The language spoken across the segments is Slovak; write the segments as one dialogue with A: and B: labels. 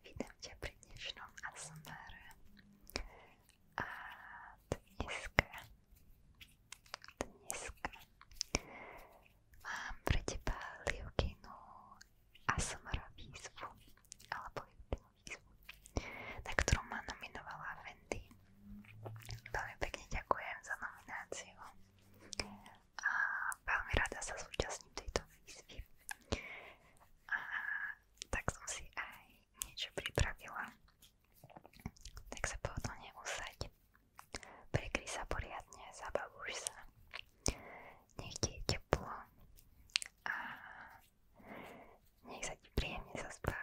A: Vítam ťa pri dnešnom ASMR a dneska, dneska mám pre teba Liukinu ASMR výzvu alebo Liukinu výzvu, na ktorú ma nominovala Wendy. Veľmi pekne ďakujem za nomináciu a veľmi rada sa zúčastním tejto výzvy. A tak som si aj niečo pripravila. Tak sa pohodlne usaď. Prikry sa poriadne, zabavuj sa. Nech ti je teplo a nech sa ti príjemne zaspáva.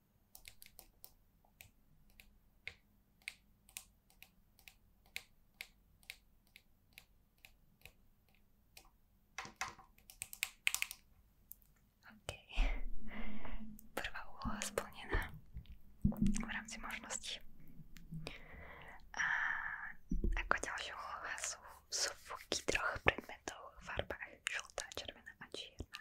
A: OK. Prvá úloha splnená v rámci možností. A ako ďalšia úloha sú zvuky troch predmetov v farbách žltá, červená a čierna.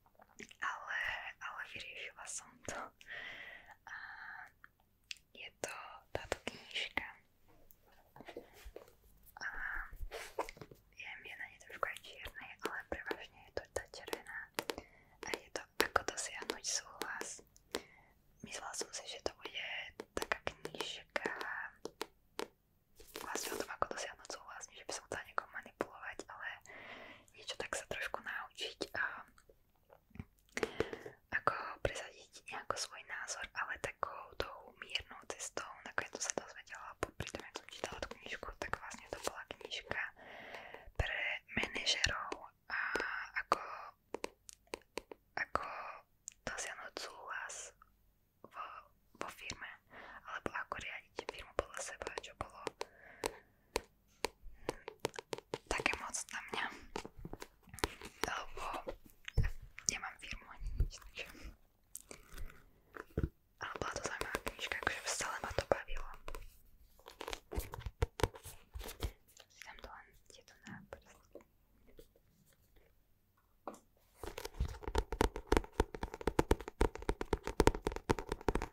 A: ale, ale vyriešila som to a je to táto knižka a viem, je na nej trošku aj čiernej, ale prevažne je to tá červená a je to ako dosiahnuť súhlas myslela som si, že to bude taká knižka vlastne o tom, ako dosiahnuť súhlas, že by som chcela niekoho manipulovať, ale niečo tak sa trošku naučiť a ako presadiť nejako svoj názor, ale takou tou miernou cestou. Nakoniec to sa dozvedela, pri tom, jak som čítala tú knižku, tak vlastne to bola knižka pre manažerov a ako, ako dosiahnuť súhlas vo, vo firme, alebo ako riadiť firmu podľa seba, čo bolo také moc na mňa, lebo nemám firmu ani nič, takže... Ale bola to zaujímavá knižka, akože stále ma to bavilo. Si tam to len tieto náprsty.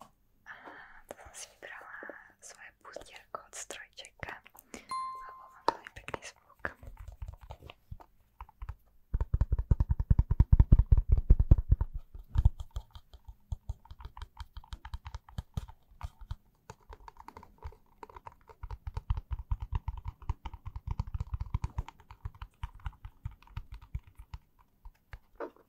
A: A to som si vybrala svoje pustierko od strojčeka a bol mám veľmi pekný zvuk.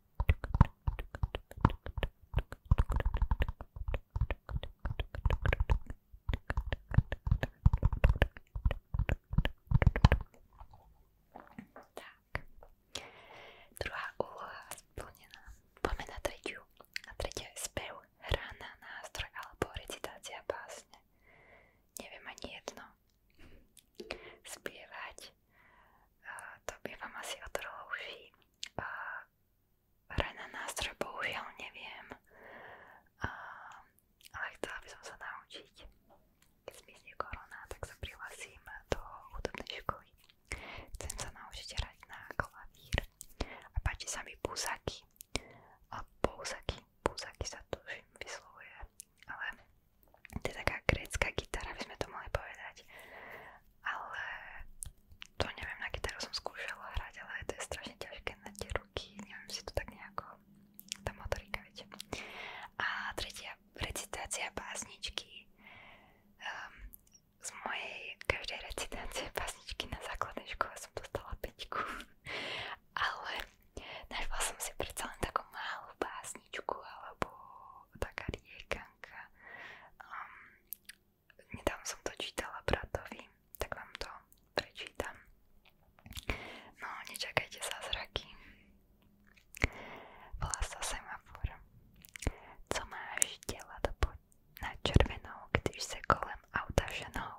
A: Tak. Druhá úloha splnená. Poďme na tretiu. A tretia je spev, hra na nástroj alebo recitácia básne. Neviem ani jedno. Spievať to by vám asi otrhlo uši. Hrať na nástroj bohužiaľ neviem, ale chcela by som sa naučiť. Keď zmizne korona, tak sa prihlasím do hudobnej školy. Chcem sa naučiť hrať na klavír. A páči sa mi púzaky. A púzaky, púzaky sa tuším vyslovuje, ale to je taká grécka gitara, by sme to mohli povedať. Ale to neviem, na gitaru som skúšala hrať, ale to je strašne ťažké na tie ruky, neviem si to tak nejako, tá motorika, viete. A tretia recitácia básničky. Um, z mojej každej recitácie básničky na základnej škole som dostala peťku. ale našla som si predsa len takú malú básničku alebo taká riekanka. Um, nedávno som to čítala bratovi, tak vám to prečítam. No, nečakajte zázraky. Volá sa semafor. Co máš dělat pod na červenou, když se kolem auta ženou?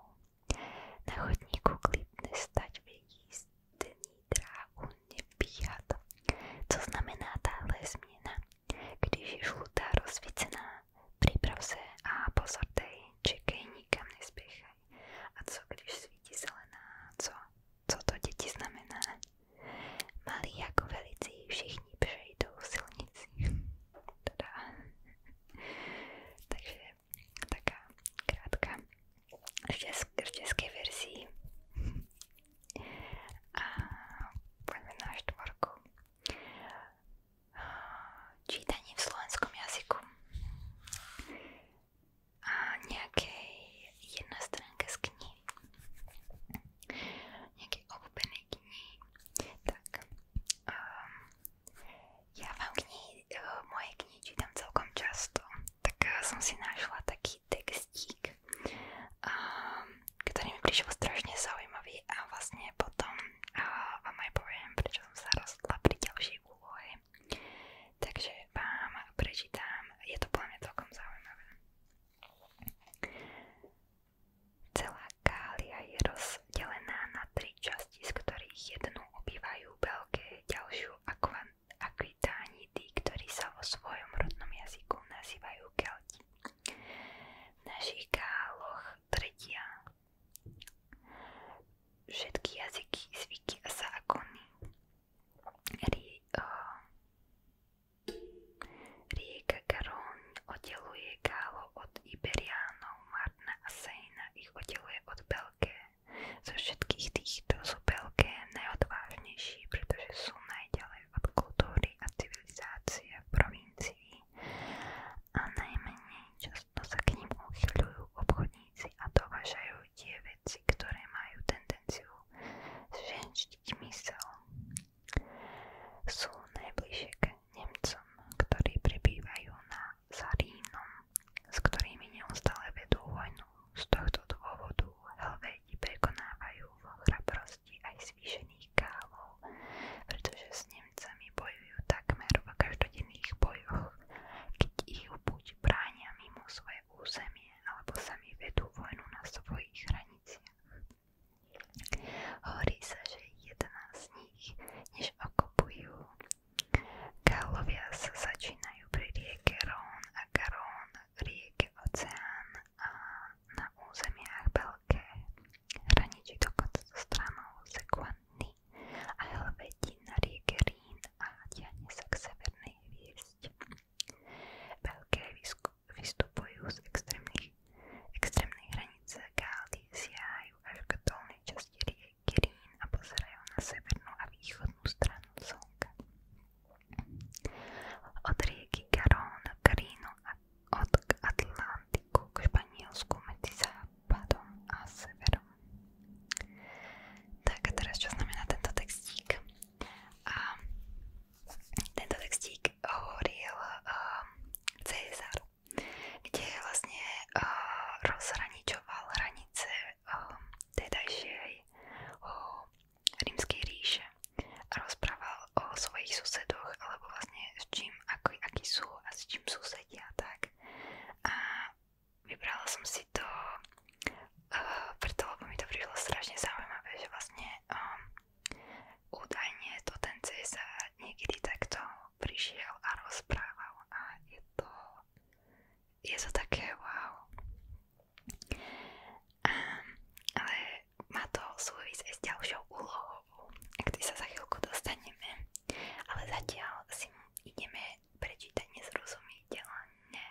A: Na chodníku klidne stať vidí stný dráhu nepíchat. Co znamená tahle změna? Když je žlutá rozsvícená, připrav se a pozor dej, čekej, nikam nespěchaj. A co když svítí zelená? Co? Co to děti znamená? Malí jako velicí všichni přejdou silnici. Tada. Takže taká krátká v české verzi a poďme na štvorku. Čítanie v slovenskom jazyku. A nejakej jedna z knihy. Nejakej obľúbenej knihy. Tak. Um, ja vám knihy, e, moje knihy čítam celkom často. Tak e, som si našla taký taký textík, ehm, ktorý mi prišiel strašne zaujímavý a vlastne potom vám aj poviem, prečo som sa rozhodla pri ďalšej úlohe. Takže vám prečítam, je to podľa mňa celkom zaujímavé. Celá Gália je rozdelená na tri časti, z ktorých jednu obývajú Belgie, ďalšiu Aquitania Británi tí, ktorí sa vo svojom a zákony Rie, oh, rieka Garon od Iberiánov, Marna a Sejna ich oddeluje od Belgé. Zo všetkých týchto sú Belgé najodvážnejší, pretože sú najďalej ďalej od kultúry a civilizácie v provincii a najmenej často sa k ním uchyľujú obchodníci a dovážajú tie veci, ktoré majú tendenciu zženštiť mysel. Sú najbližšie k Nemcom, ktorí pribývajú na Zarínom, s ktorými neustále vedú vojnu. Z tohto dôvodu Helvéti prekonávajú v oblasti aj zvýšených kávov, pretože s Nemcami bojujú takmer v každodenných bojoch, keď ich buď bránia mimo svoje územie, alebo sami vedú vojnu na svojich hraniciach. Hovorí sa, že 11 z nich, než okupujú. Gálovia sa začínajú pri rieke Rón a Garón rieky, oceán a na územiach Belké. Hraničí dokonca so stranou Sekvanny a Helvetí na rieke Rín a tiahne sa k severnej hviezd. Belké vystupujú z extrémnej hranice Gály, siahajú až k dolnej časti rieky Rín a pozerajú na severnú a východnú stranu Slnka. Od rieky Garón k Rínu a od Atlantiku k Španielsku medzi západom a severom. Tak a teraz čo znamená tento textík? A tento textík hovoril um, eh, Cezar, kde vlastne uh, rozhraničoval hranice um, tedajšej uh, rímskej ríše a rozprával o svojich susedoch alebo vlastne s čím, ako, akí sú a s čím susedia tak. A vybrala som si to uh, preto, lebo mi to prišlo strašne zaujímavé, že vlastne um, údajne to ten cesár niekedy takto prišiel a rozprával a je to je to také wow. A, ehm, ale má to súvisť aj s ďalšou úlohou, ak ty sa za chvíľku dostaneme. Ale zatiaľ si ideme prečítať nezrozumiteľne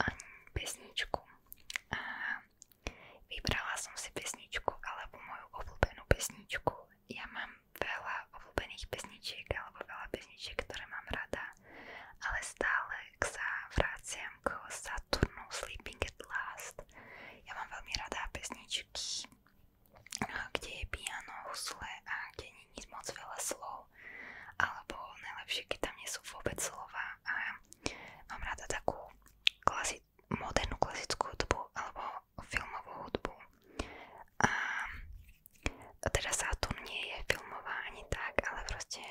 A: um, pesničku. A ehm, vybrala som si pesničku alebo moju obľúbenú pesničku. Ja mám veľa obľúbených pesničiek alebo veľa pesničiek, ktoré mám rada, ale stále sa vrácia BMK Saturnu Sleeping at Last. Ja mám veľmi rada pesničky, kde je piano, husle a kde nie moc veľa slov. Alebo najlepšie, tam nie sú vôbec slova. A mám rada takú klasi modernú klasickú hudbu alebo filmovú A teda Saturn je filmová ani tak, ale proste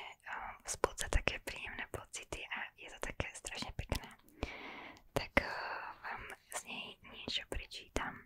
A: vzbudza také príjemné pocity a je to také strašne pekné. Tak eh, vám z nej niečo prečítam.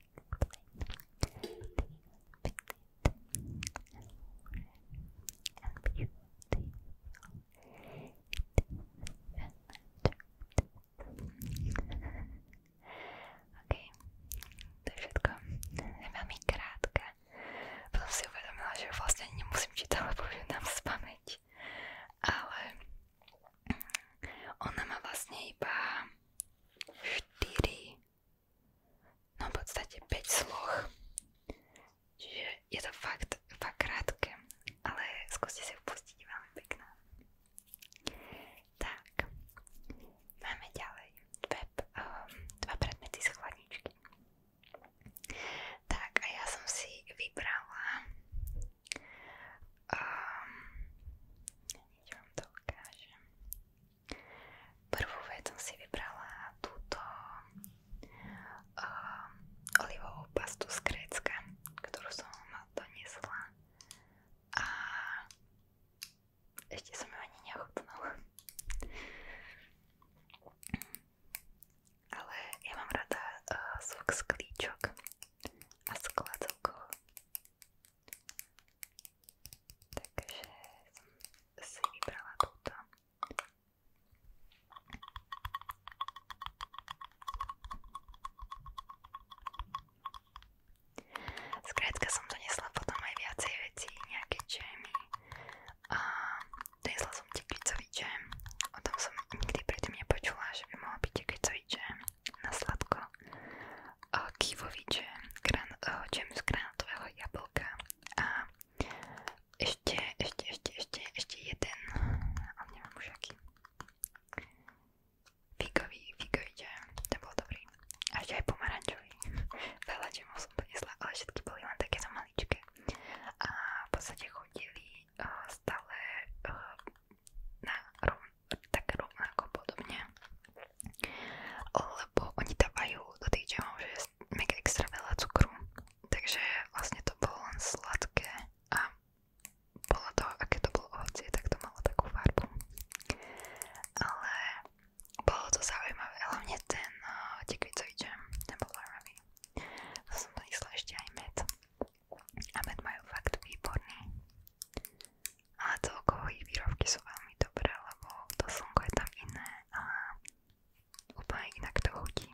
A: Okay. To je všetko. Je veľmi krátke. Potom si uvedomila, že vlastne nemusím čítať, lebo ju dám z pamäť. Ale ona má vlastne iba 4, no v podstate 5 sloh. Čiže je to fakt, fakt krátke, ale skúste si upustiť, veľmi pekná. Tak, máme ďalej dve, um, dva predmety z chladničky. Tak a ja som si vybrala Hneď um, vám to ukážem. Prvú vec som si vybrala túto um, olivovú pastu z Grécka, ktorú som doniesla a ešte som ju ani neochutnala. Ale ja mám rada uh, zvuk sklíčok a skladzovkov Takže som si vybrala túto. Skrátka som donesla potom aj viacej vecí, nejaké džemy. A donesla som tekvicový džem. O tom som nikdy predtým nepočula, že by mohol byť tekvicový džem na sladko kivoviče, gran, džem z granátového jablka a ešte, ešte, ešte, ešte, ešte jeden, ale neviem už aký, figový, figový džem, ten bol dobrý a ešte aj pomarančový, veľa džemov som donesla, ale všetky boli len takéto maličké a v podstate chodili eh, stále eh, na rovno tak rovnako podobne. Lebo oni dávajú do tých džemov, že je mega extra veľa cukru. Takže vlastne to bolo len sladké a bolo to, aké to bolo ovocie, tak to malo takú farbu. Ale bolo to zaujímavé, hlavne ten uh, tekvicový džem, ten bol zaujímavý. To som myslela ešte aj med. A med majú fakt výborný a celkovo ich výrobky sú veľmi dobré, lebo to slnko je tam iné a úplne inak to chutí.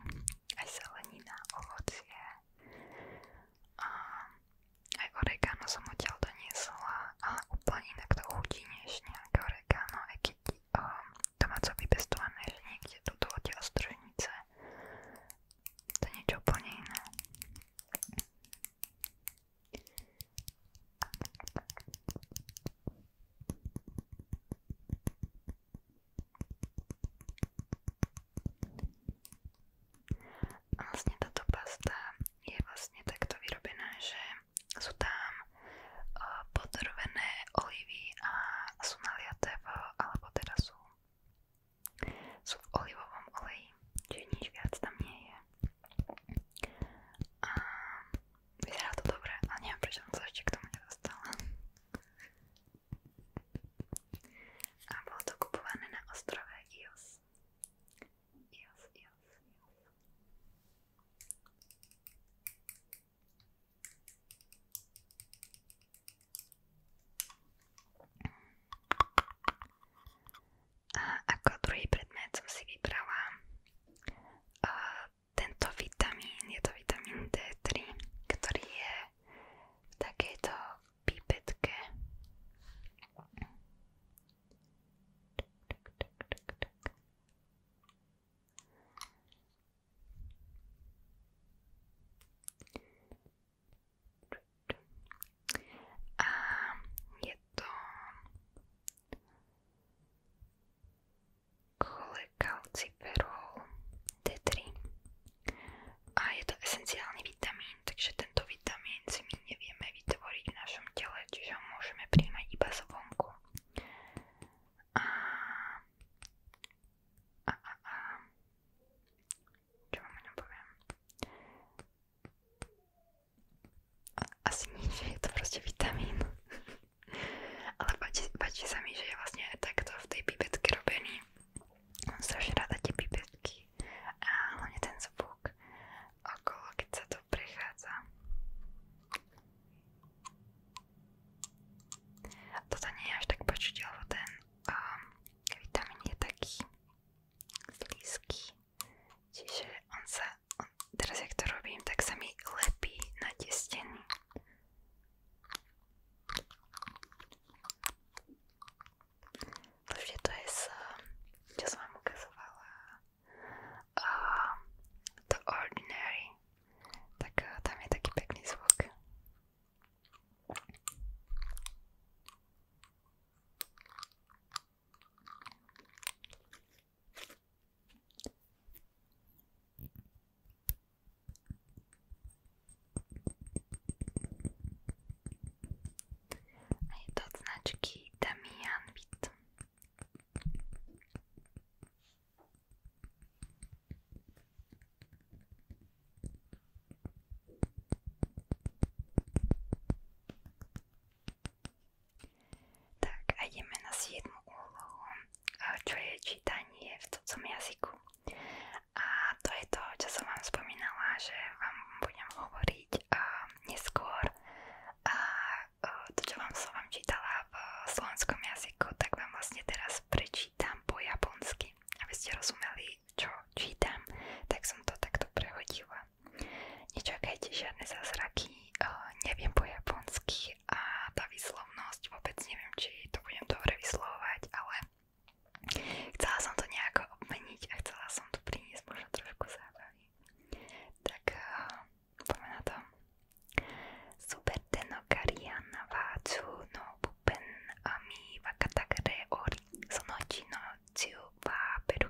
A: Aj zelenina, ovocie a aj oregano som odtiaľ doniesla a úplne inak to chutí než nejaké oregano, aj keď um, ehm, domáco vypestované, že niekde toto odtiaľ z družnice. To je niečo úplne iné. Vlastne táto pasta je vlastne takto vyrobená, že sú tam uh, podrvené olivy a sú naliaté v, alebo teda sú sú v olivovom oleji, čiže nič viac tam nie je. A vyzerá to dobre, ale neviem prečo som sa ešte k tomu nedostala. A bolo to kupované na ostrove Ios. Ios, Ios, Ios. A ako druhý predmet som si vybrala uh, tento vitamín, je to vitamín D3, ktorý je v takejto pipetke. A je to cholekalciferol D3 a je to esenciálny vitamín, takže tento vitamín si my nevieme vytvoriť v našom tele, čiže ho môžeme príjmať iba z vonku. A, a, a, a čo vám je to proste vitamín. Ale páči, páči mi, že je vlastne takto v tej pipetke robený. Mám strašne rada tie pipetky a hlavne ten zvuk okolo, keď to prechádza. Toto nie je až tak počuť, ten um, vitamín je taký slízky. Čiže on sa, on, teraz jak to robím, tak sa mi lepí na tie steny. Takže to je z, čo som vám ukazovala, uh, The Ordinary, tak uh, tam je taký pekný zvuk. A je to od značky Damian Beat. Tak a ideme na 7. úlohu, čo je čítanie v cudzom jazyku. A to je to, čo som vám spomínala, že vám budem hovoriť a A e, to, čo vám čítala v slovenskom jazyku, tak vám vlastne teraz prečítam po japonsky. Aby ste rozumeli, čo čítam, tak som to takto prehodila. Nečakajte žiadne zázraky, uh, neviem po japonsky a tá výslovnosť, vôbec neviem, či to budem dobre vyslovovať, ale chcela som to nejako obmeniť a chcela som tu priniesť možno trošku zábavy. Tak uh, poďme na to. Suberte no karian vácu no bupen a mi vakatagre ori sonochi no ciu wa peru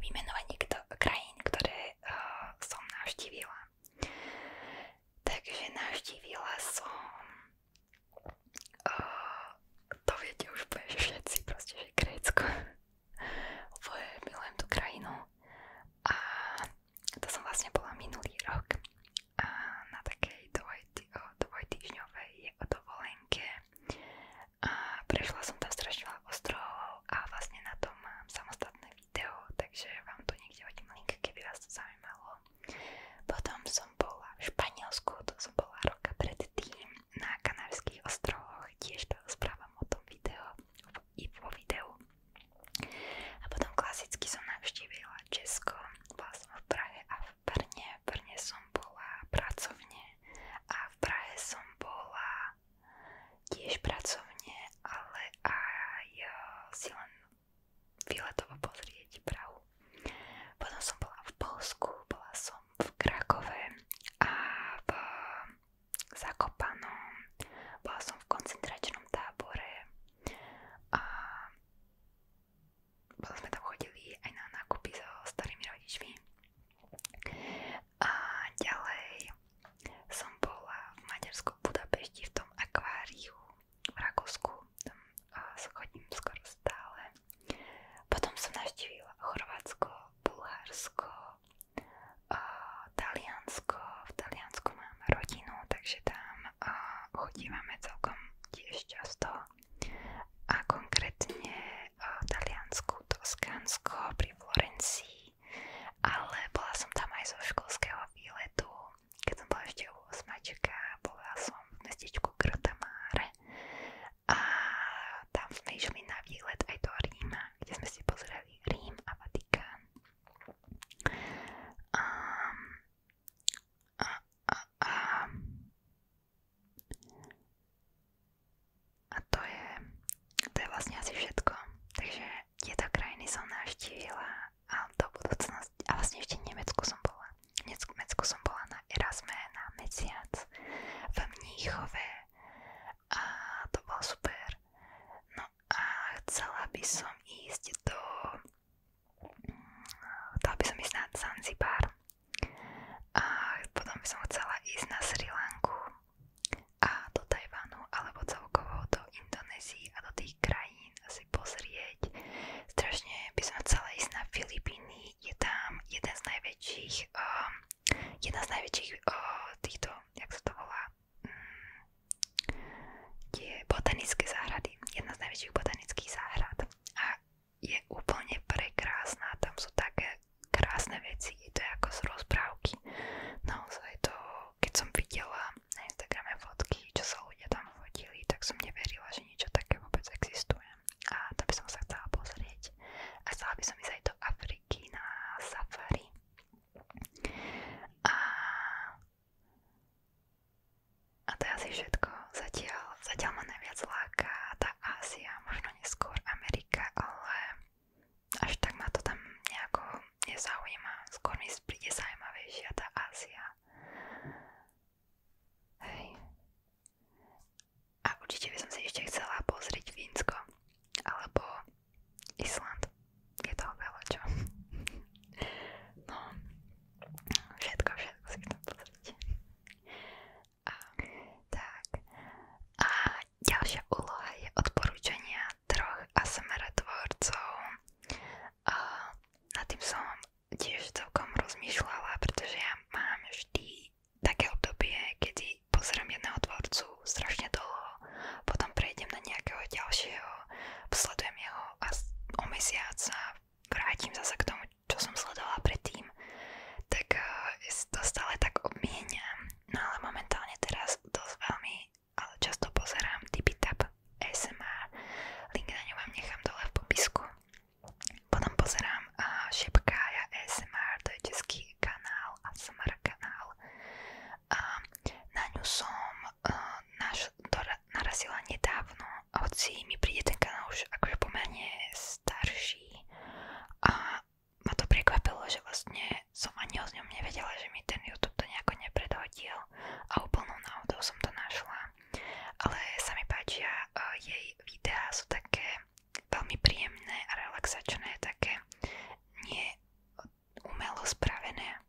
A: vymenovať niekto krajín, ktoré uh, eh, som navštívila. Takže navštívila som uh, eh, to viete už bude, že všetci proste, že Grécko. Úplne milujem tú krajinu. A to som vlastne bola minulý rok. A na takej dvoj, dvojtýždňovej dovolenke a prešla som tam strašne veľa ostrovov a vlastne na tom mám samostatné video, takže vám tu niekde hodím link, keby vás to zaujímalo. Potom som bola v Španielsku, to som bola roka predtým, na Kanárskych ostrovoch, tiež to správam o tom video, i vo videu. A potom klasicky som navštívila Česko, bola som v Prahe a v Brne, v Brne som bola pracovne a v Prahe som bola tiež pracovne, ale aj e, si len výletovo pozrieť Prahu. Potom som bola v Polsku, bola som v Krakove a v Zakopanom, bola som v koncentračnom tábore a potom sme tam chodili aj na nákupy so starými rodičmi a ďalej som bola v Maďarsku Budapešti v tom akváriu v Rakúsku, tam chodím skoro stále. Potom som navštívila Chorvátsko, Bulharsko, Taliansko. V Taliansku mám rodinu, takže tam a, chodívame celkom A konkrétne a, Taliansku, Toskánsko pri Florencii detí. Ale bola som tam aj zo školského výletu, keď som bola ešte u osmačka, bola som v mestečku Grotamáre a tam sme išli na výlet aj do Ríma, kde sme si pozreli Rím a Vatikán. A, a, a, a, a to je, to je vlastne asi všetko. Takže tieto krajiny som navštívila a do budúcnosti, a vlastne ešte Nemecku som bola. V Nemecku som bola na Erasme na mesiac v Mníchove a to bolo super. No a chcela by som ísť do chcela by som ísť na Zanzibar a potom by som chcela ísť na Sri Lanku a do Tajvanu alebo celkovo do Indonézii a do tých krajín si pozrieť. Strašne by som chcela ísť na Filipíny, je tam jeden z najväčších, um, jedna z najväčších uh, týchto, jak sa to volá, um, tie botanické záhrady, jedna z najväčších botanických záhrad a je úplne prekrásna, tam sú také krásne veci, je to ako z rozprávky. Naozaj to, keď som videla na Instagrame fotky, čo sa ľudia tam fotili, tak som neverila, že niečo také vôbec existuje. A to by som sa chcela pozrieť. A chcela by som ísť aj do Afriky na safari. A, a to je asi všetko. Zatiaľ, zatiaľ ma najviac láka tá Ázia, možno neskôr Amerika, ale až tak ma to tam nejako nezaujíma. Skôr mi príde zaujímavejšia tá Ázia. Hej. A určite by som si ešte chcela pozrieť Fínsko alebo Island. Je toho veľa čo. No, všetko, všetko si chcem pozrieť. A, tak. A ďalšia úloha je odporúčania troch ASMR tvorcov. A nad tým som tiež celkom rozmýšľala, pretože ja mám vždy také obdobie, kedy pozerám jedného tvorcu strašne dlho, potom prejdem na nejakého ďalšieho, sledujem jeho a o mesiac sa vrátim k tomu, čo som sledovala predtým, tak eh, to stále tak obmieniam No ale momentálne teraz dosť veľmi, ale často pozerám TipiTap ASMR, link na ňu vám nechám dole v popisku. Potom pozerám uh, Šepkája ASMR, to je český kanál, ASMR kanál. Uh, na ňu som uh, naš, dora, narazila nedávno, hoci mi príde ten kanál už akože pomerne starší. Uh, ma to prekvapilo, že vlastne som ani o ňom nevedela, že mi ten YouTube to nejako nepredhodil a úplnou náhodou som to našla. Ale sa mi páčia, e, jej videá sú také veľmi príjemné a relaxačné, také nie umelo spravené.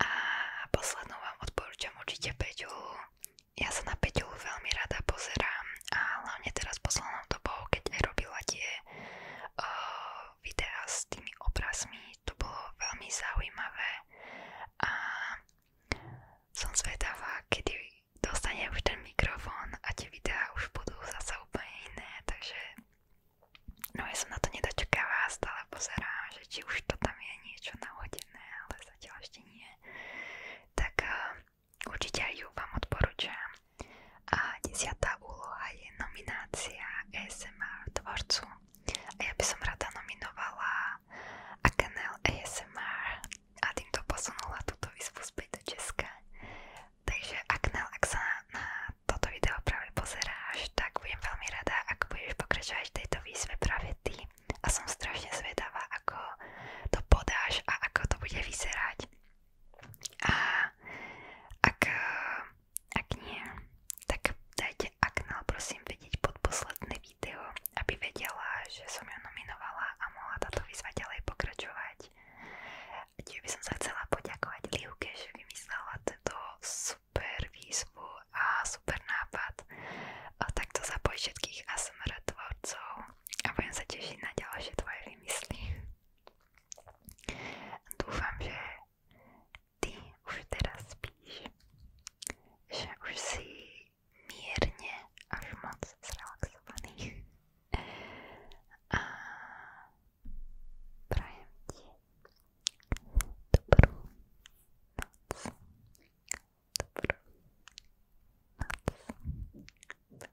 A: A poslednou vám odporúčam určite Peťulu. Ja sa na Peťulu veľmi rada pozerám a hlavne teraz poslednou dobou, keď aj robila tie uh, videá s tými obrazmi, to bolo veľmi zaujímavé a som zvedavá, kedy dostane už ten mikrofón a tie videá už budú zase úplne iné, takže no ja som na to nedočakavá, stále pozerám, že či už to tam je niečo nahodené, ale zatiaľ ešte nie. Tak uh, určite aj ju vám odporúčam. A desiatá úloha je nominácia ASMR tvorcu. A ja by som rada nominovala a kanál ASMR a týmto posunula túto výzvu späť do Česka. Takže Aknel, ak sa na toto video práve pozeráš, tak budem veľmi rada, ak budeš pokračovať v tejto výzve práve ty. A som strašne zvedavá, ako to podáš a ako to bude vyzerať. A ak, ak nie, tak dajte Aknel prosím vedieť pod posledné video, aby vedela, že som ju nominovala a mohla táto výzva ďalej pokračovať. Tiež by som sa chcela poďakovať Liuke, že vymyslela tento super výzvu a super nápad. A takto zapoj všetkých ASMR tvorcov a budem sa tešiť na ďalšie tvoje vymysly. Dúfam, že ty už teraz spíš, že už si mierne až moc zrelaxovaný a prajem ti dobrú noc, dobrú noc.